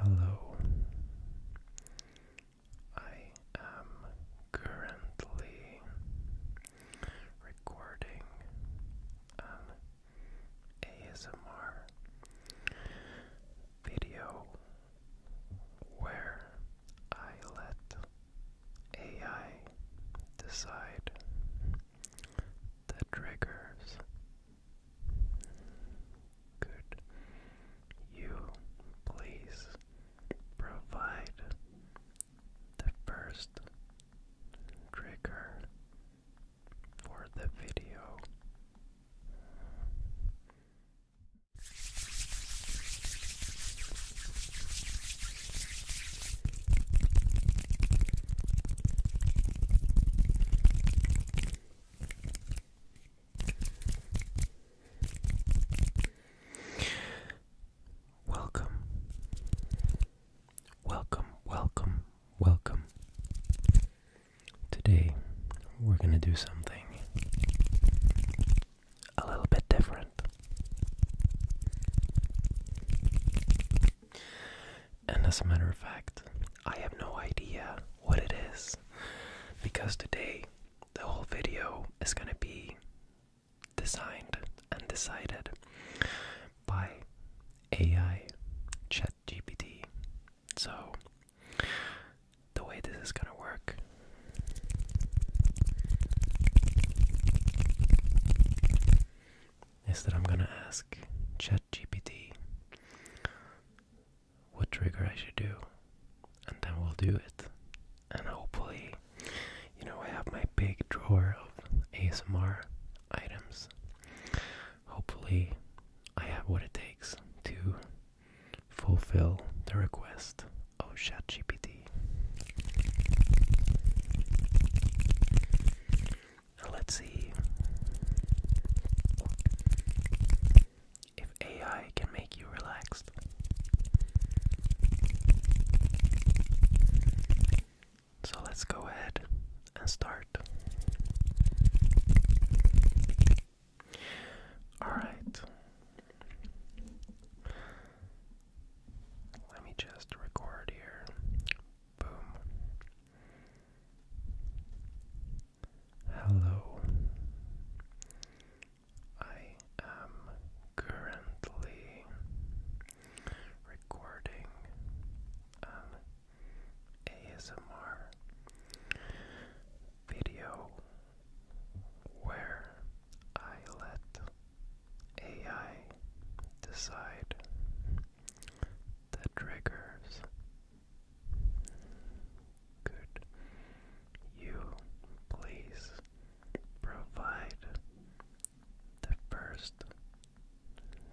Hello. I am currently recording an ASMR video where I let AI decide the triggers could you please provide the first trigger for the video? Welcome, welcome, welcome, welcome. Today we're going to do something a little bit different. And as a matter of fact, I have no idea what it is because today the whole video is going to be designed and decided by AI ChatGPT. So, the way this is going to work. Is that I'm gonna ask GPT, what trigger I should do, and then we'll do it. And hopefully, you know, I have my big drawer of ASMR items. Hopefully, I have what it takes to fulfill the request of ChatGPT. Let's see if AI can make you relaxed. So let's go ahead and start. Alright. Let me just record here Boom. Hello. I am currently recording an ASMR video where I let AI decide the triggers. Could you please provide the first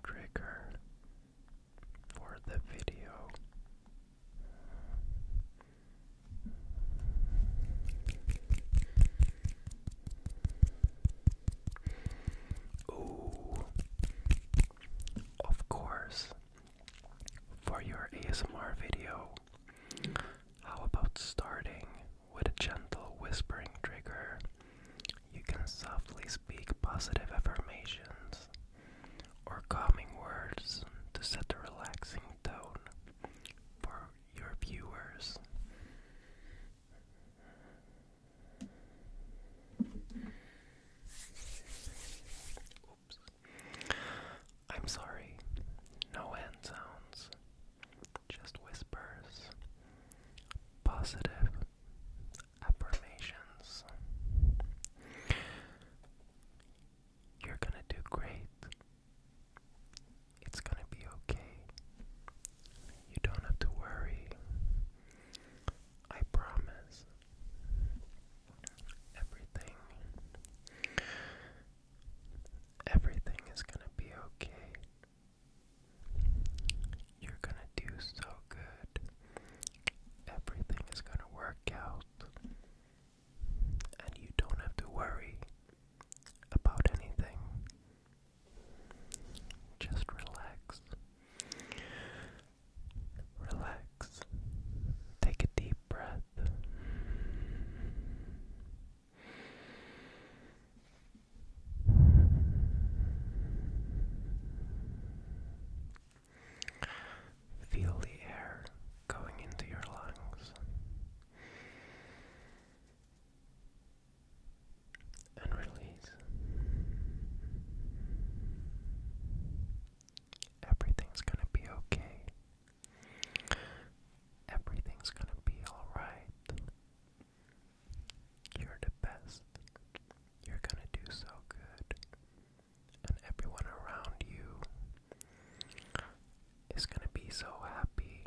trigger for the video? Ooh, of course, for your ASMR video, how about starting with a gentle whispering trigger? You can softly speak positive affirmations or calming words to set a relaxing tone for your viewers. I'm sorry. No hand sounds. Just whispers. Positive affirmations. You're gonna do great. It's gonna be okay. You don't have to worry. I promise everything everything is gonna be okay. You're gonna do so good. Everything is gonna work out. And you don't have to worry about anything. Just relax. Relax. Take a deep breath. Feel the air going into your lungs and release everything's gonna be okay everything's gonna be all right you're the best you're gonna do so good and everyone around you is gonna be so happy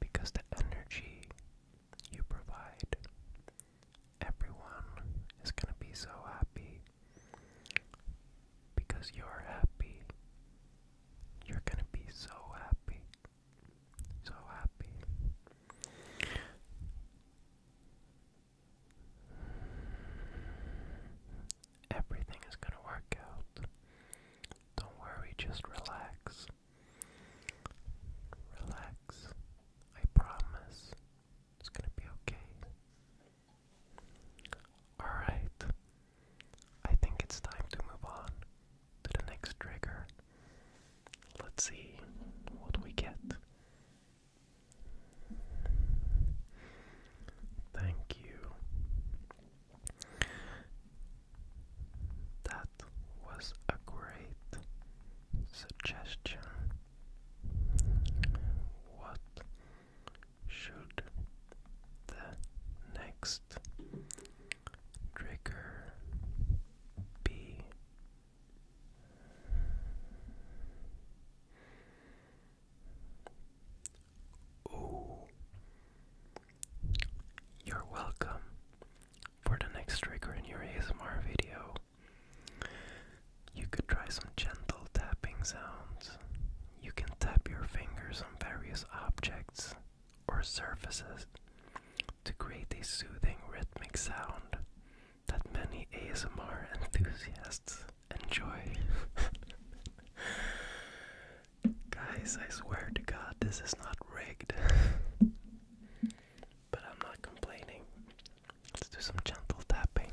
because the energy you provide. Everyone is going to be so happy because you're happy. You're going to be so happy. So happy. Everything is going to work out. Don't worry, just relax. Relax. I promise it's gonna be okay. Alright. I think it's time to move on to the next trigger. Let's see what we get. Thank you. That was great suggestion What should the next trigger be? Oh, you're welcome for the next trigger in your ASMR video. You could try some gentle tapping sounds. You can tap your fingers on various objects or surfaces to create a soothing rhythmic sound that many ASMR enthusiasts enjoy. Guys, I swear to God, this is not rigged. but I'm not complaining. Let's do some gentle tapping.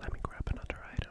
Let me grab another item.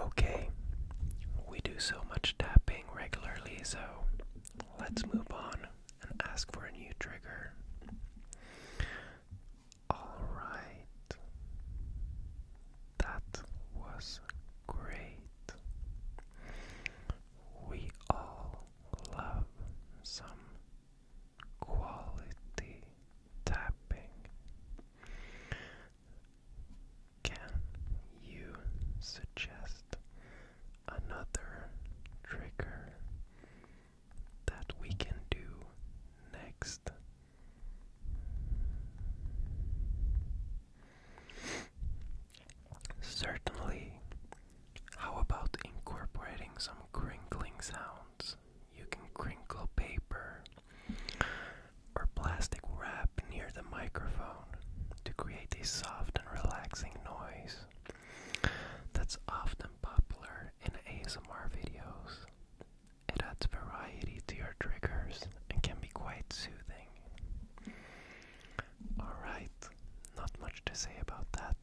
Okay, we do so much tapping regularly, so let's move on and ask for a new trigger. Alright, that was great. We all love some quality tapping. Can you suggest another trigger that we can do next? Certainly. How about incorporating some crinkling sounds? You can crinkle paper or plastic wrap near the microphone to create a soft and relaxing noise that's often popular in ASMR videos. It adds variety to your triggers and can be quite soothing. Alright, not much to say about that.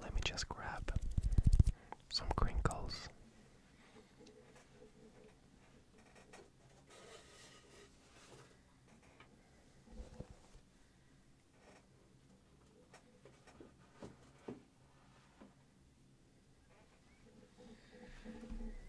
Let me just grab some crinkles.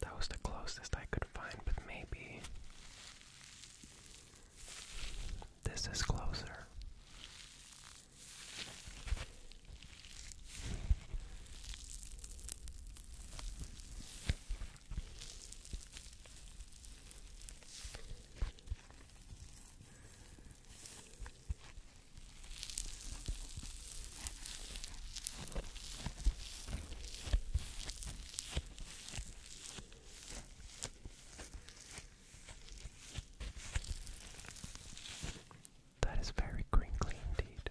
That was the closest I could find, but maybe this is closer. That is very crinkly indeed.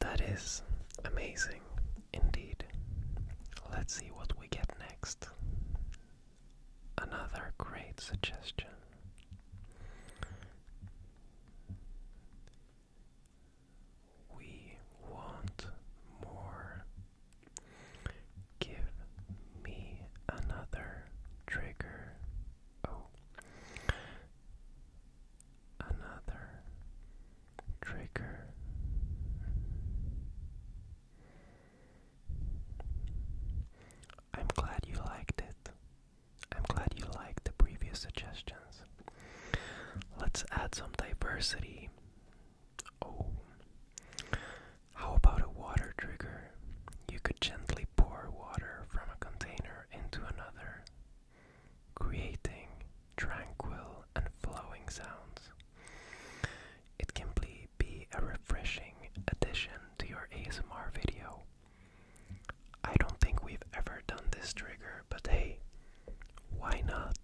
That is amazing indeed. Let's see what we get next. Another great suggestion. We want more. Give me another trigger. Oh, another trigger. I'm glad you liked it. I'm glad you liked the previous suggestions. Let's add some diversity. Oh. How about a water trigger? You could gently pour water from a container into another, creating tranquil and flowing sounds. It can be be a refreshing addition to your ASMR video. I don't think we've ever done this trigger, but hey, why not?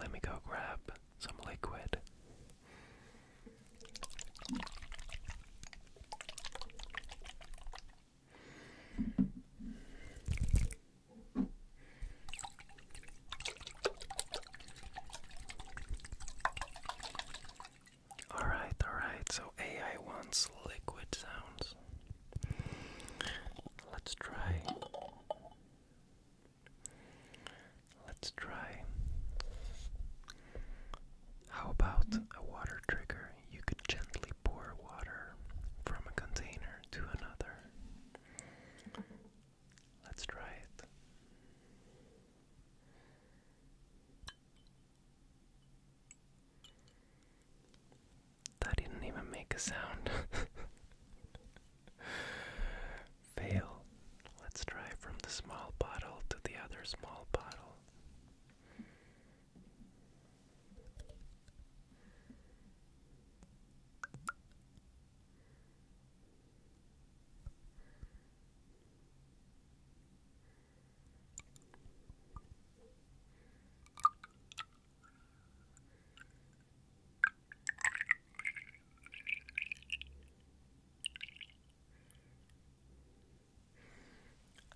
Let me go grab some liquid. Alright, alright, so AI wants liquid sounds. Let's try. Let's try. How about a water trigger? You could gently pour water from a container to another. Let's try it. That didn't even make a sound. Fail. Let's try from the small bottle to the other small bottle.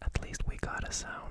At least we got a sound.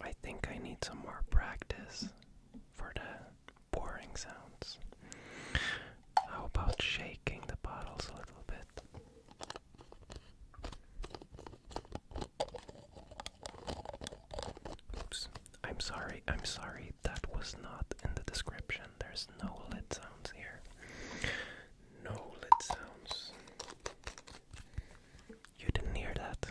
I think I need some more practice for the boring sounds. How about shaking the bottles a little bit? Oops. I'm sorry, I'm sorry, that was not in the description. There's no lid sounds here. No lid sounds. You didn't hear that.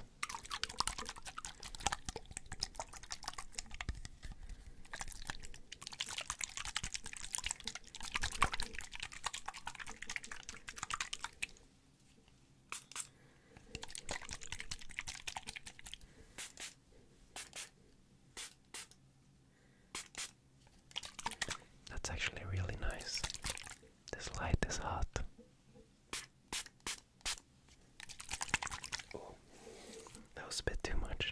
That's actually really nice. This light is hot. Oh, that was a bit too much.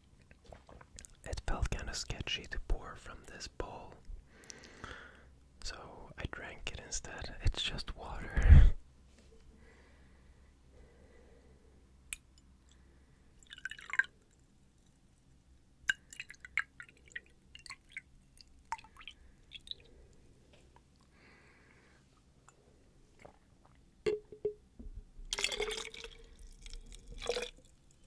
It felt kind of sketchy to pour from this bowl. So I drank it instead. It's just water.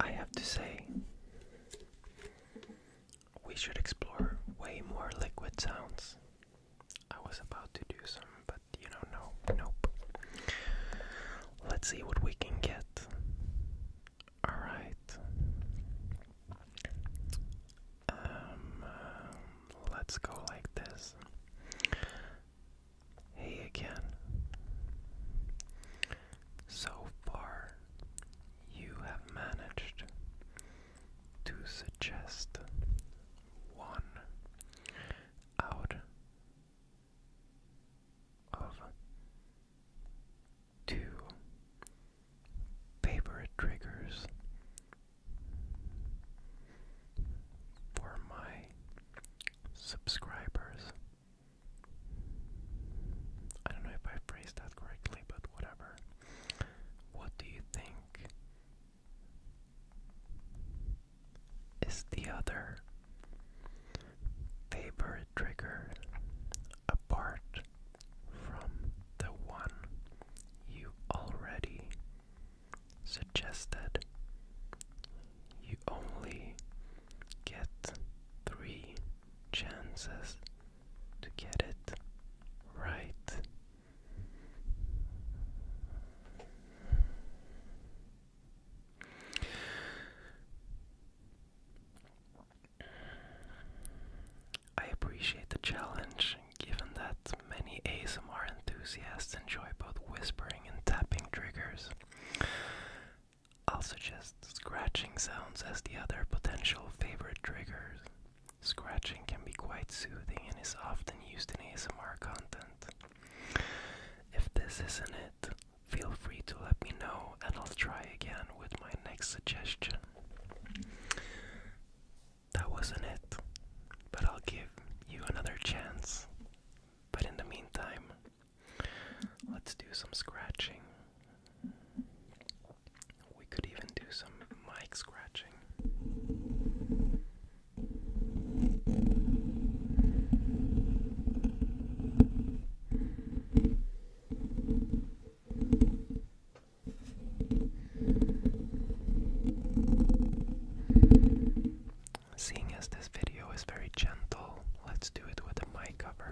I have to say, we should explore way more liquid sounds. I was about to do some, but you know, no, nope. Let's see what we can get. Alright. Um, um, let's go like this. Hey again. So far, you have managed to suggest one out of two favorite triggers for my subscribers I don't know if I phrased that correctly, but whatever. What do you think is the other favorite trigger apart from the one you already suggested? You only get three chances to get it right. I appreciate the challenge, given that many ASMR enthusiasts enjoy both whispering and tapping triggers. I'll suggest scratching sounds as the other potential favorite triggers. Scratching can be quite soothing and is often used in ASMR content. If this isn't it, feel free to let me know and I'll try again with my next suggestion. That wasn't it, but I'll give you another chance. But in the meantime, Let's do some scratching. We could even do some mic scratching. Seeing as this video is very gentle, let's do it with a mic cover.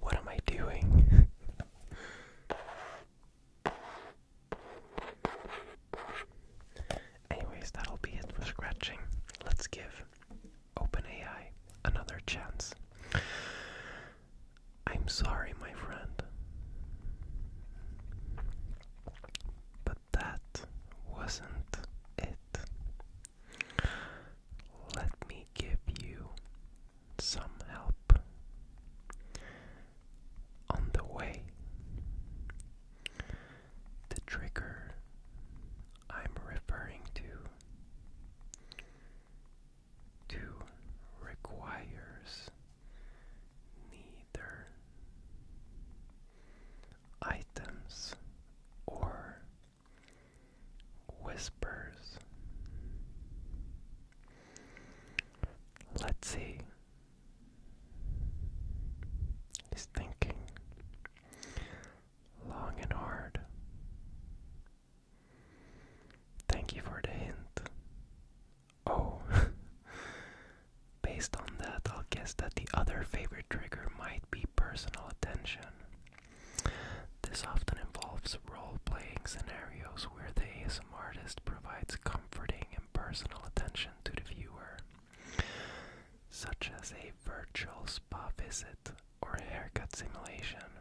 What am I doing? Anyways, that'll be it for scratching. Let's give OpenAI another chance. I'm sorry, my friend. But that wasn't it. Let me give you some help on the way. The trigger I'm referring to to requires neither items or whispers. Let's see. He's thinking long and hard. Thank you for the hint. Oh. Based on that, I'll guess that the other favorite trigger might be personal attention. This often involves role playing scenarios where the ASM artist provides comforting and personal attention to the viewer, such as a virtual spa visit or haircut simulation.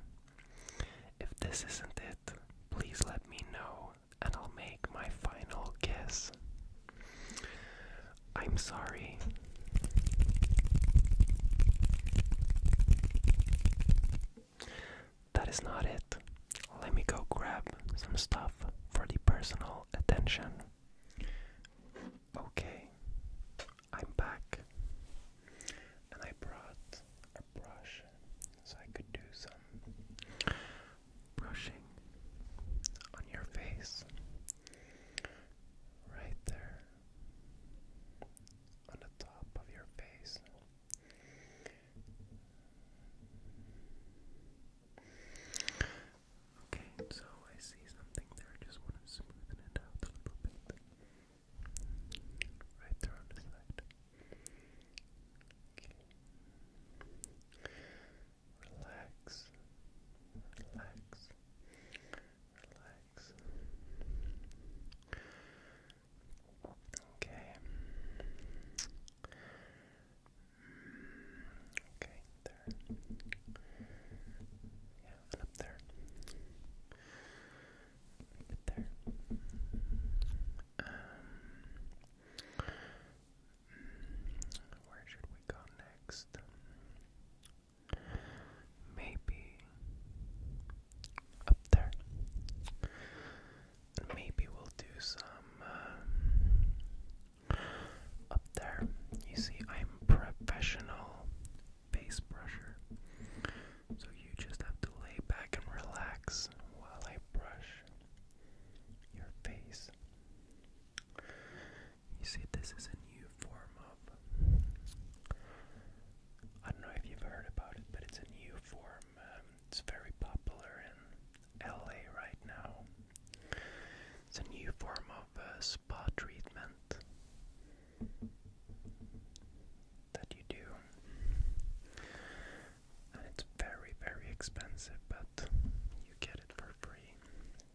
If this isn't it, please let me know and I'll make my final guess. I'm sorry. That is not it. Let me go grab some stuff for the personal attention. Okay, I'm back. And I brought a brush, so I could do some brushing on your face right there on the top of your face. Okay, so I see something there. just want to smoothen it out a little bit. Right there on the side. Relax, relax, relax. Okay. Okay, there. Yeah, and up there. Right there. Um where should we go next? Maybe up there. maybe we'll do some um, up there. You see, I'm professional face brusher, so you just have to lay back and relax while I brush your face. You see, this is a new form of. I don't know if you've heard about it, but it's a new form. Um, it's very popular in LA right now. It's a new form of uh, spa treatment that you do it's very, very expensive, but you get it for free.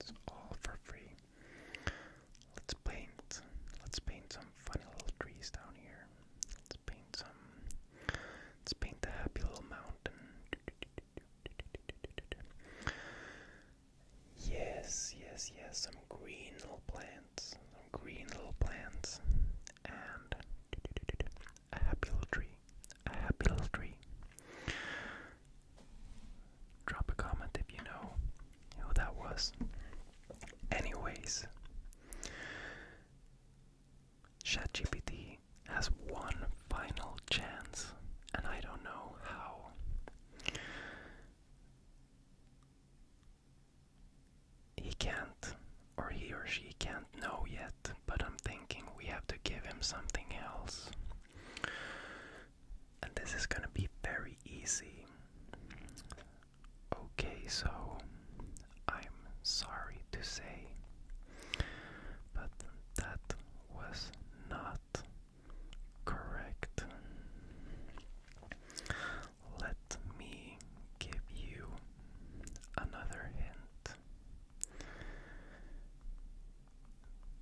It's all for free. Let's paint. Let's paint some funny little trees down here. Let's paint some. Let's paint the happy little mountain. Yes, yes, yes, some green little plants, some green little plants, and a happy little tree, a happy little tree. Drop a comment if you know who that was. Anyways, ChatGPT has one final chance, and I don't know how he can't, or he or she can't know yet, but I'm thinking we have to give him something else. And this is gonna be very easy. Okay, so I'm sorry to say, but that was not correct. Let me me give you another hint.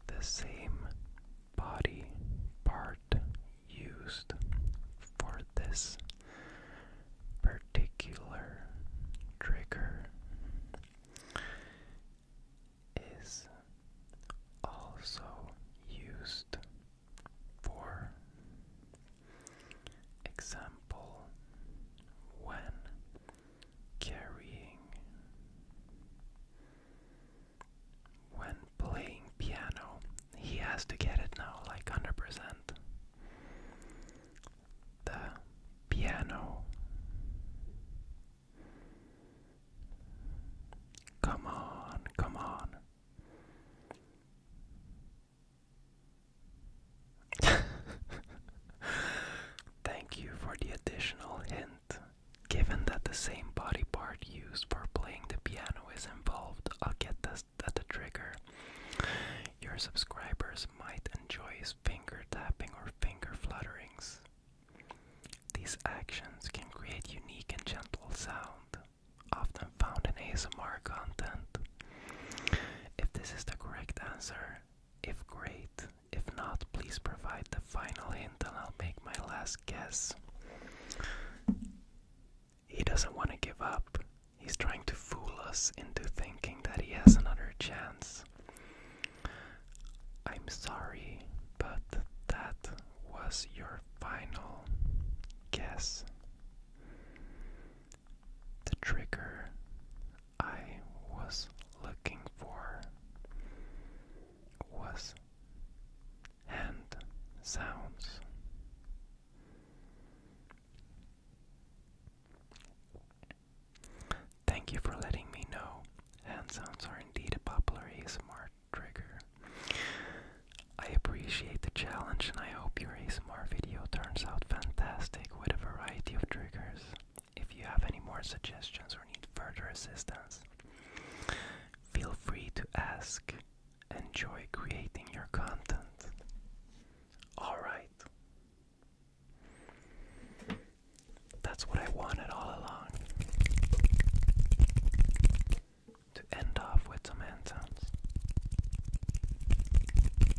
The same body part used for this particular trigger is also used for Example when carrying, when playing piano, he has to get it now like 100%. The piano. Come on, come on. Thank you for the additional hint. Given that the same body part used for playing the piano is involved, I'll get this at the trigger. Your subscribers might enjoy his finger tapping or finger flutterings. These actions can create unique and gentle sound, often found in ASMR content. If this is the correct answer, if great. If not, please provide the final hint and I'll make my last guess. He doesn't want to give up. He's trying to fool us into thinking that he has another chance. I'm sorry, but that was your final guess the trigger I was looking for was hand sounds. Thank you for letting me know. Hand sounds are indeed a popular ASMR trigger. I appreciate the challenge and I hope you your ASMR video turns out fantastic with a variety of triggers. If you have any more suggestions or need further assistance, feel free to ask. Enjoy creating your content. Alright. That's what I wanted all along. To end off with some anthems.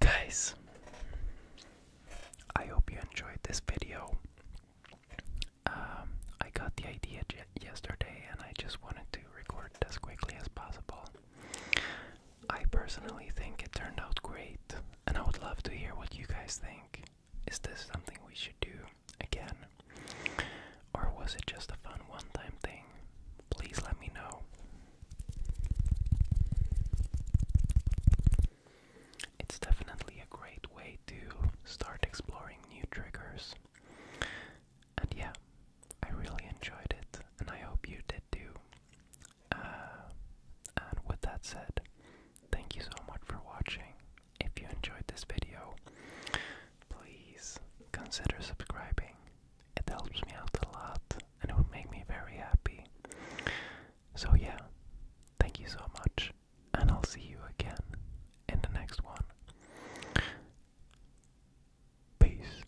Guys, I hope you enjoyed this video. Um, I got the idea yesterday and I just wanted to record as quickly as possible. I personally think it turned out great and I would love to hear what you guys think. Is this something we should do again? Or was it just a fun one time thing? Please let me know. It's definitely a great way to start exploring new triggers. And yeah, I really enjoyed it, and I hope you did too. Uh, and with that said, thank you so much for watching. If you enjoyed this video, please consider subscribing. It helps me out a lot and it would make me very happy. So, yeah, thank you so much, and I'll see you again in the next one. Peace.